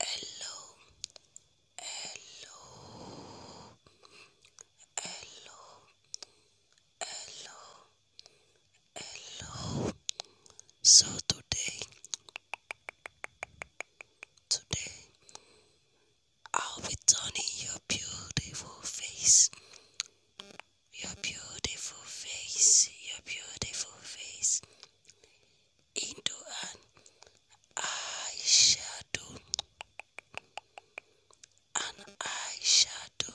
Hello, hello, hello, hello, hello. So today, today, I'll be turning your beautiful face, your beautiful face, your beautiful face, into an eyeshadow, an eyeshadow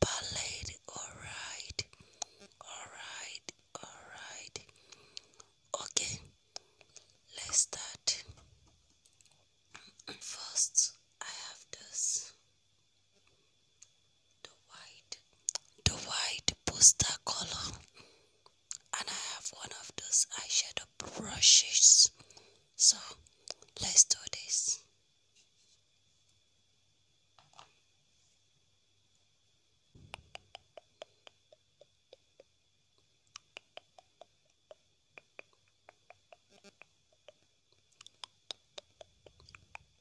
palette. Alright, alright, alright. Okay, let's start. First, I have this the white the white poster color and I have one of those eyeshadow brushes so let's do this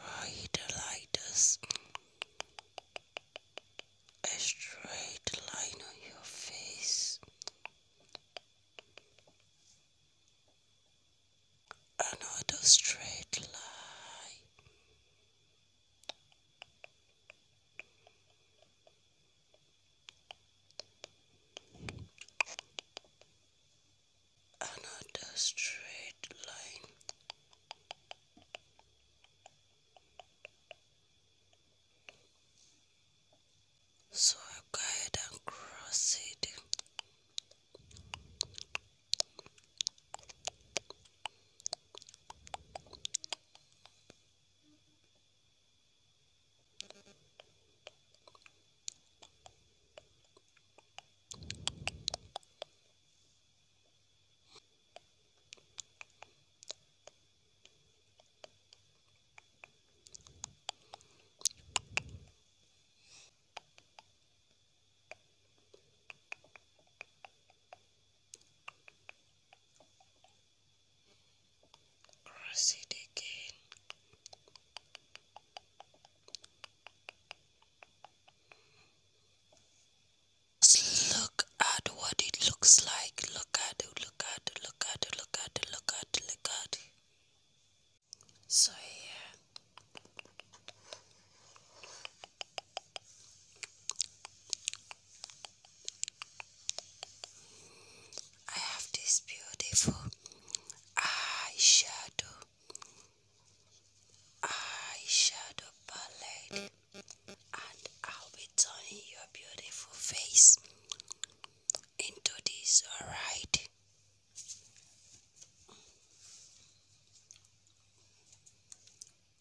Right like this. A straight line on your face another straight line. Another straight line. So I go ahead and cross it. Cross it again. Just look at what it looks like. Look at it, look at it, look at it, look at it, look at it, look at it. So yeah. I have this beautiful eyeshadow eyeshadow palette and I'll be turning your beautiful face into this, alright?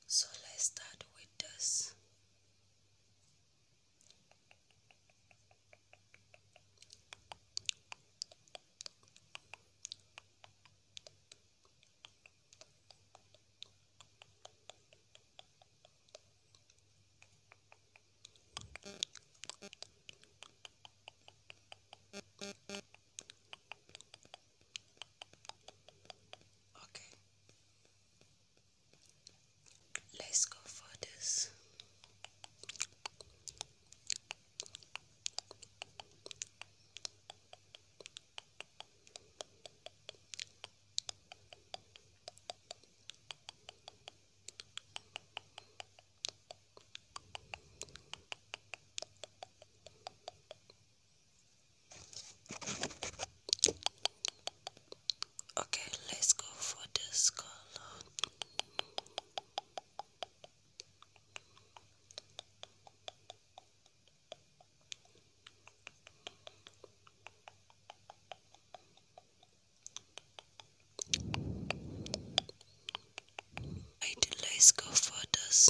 So let's start with this. Okay, let's go for this. Okay, let's go for this color let's go for this.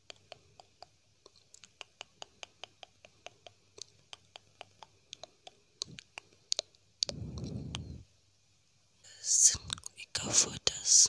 we go for this.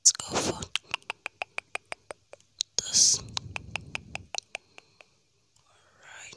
Let's go for this. Alright.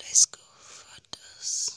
Let's go for this.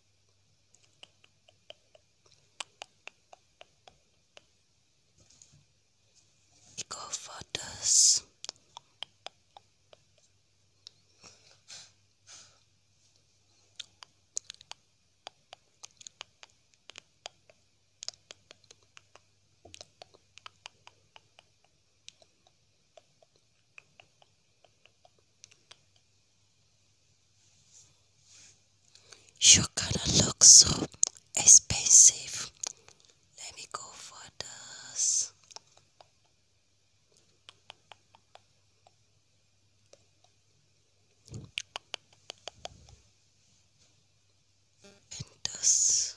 Go for this. You're gonna look so expensive. Let me go for this. this.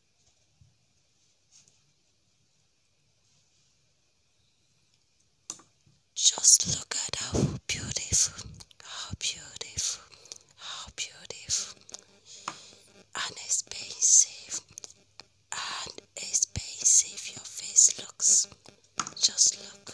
Just look at how beautiful, how beautiful, how beautiful, and expensive, and expensive your face looks. Just look.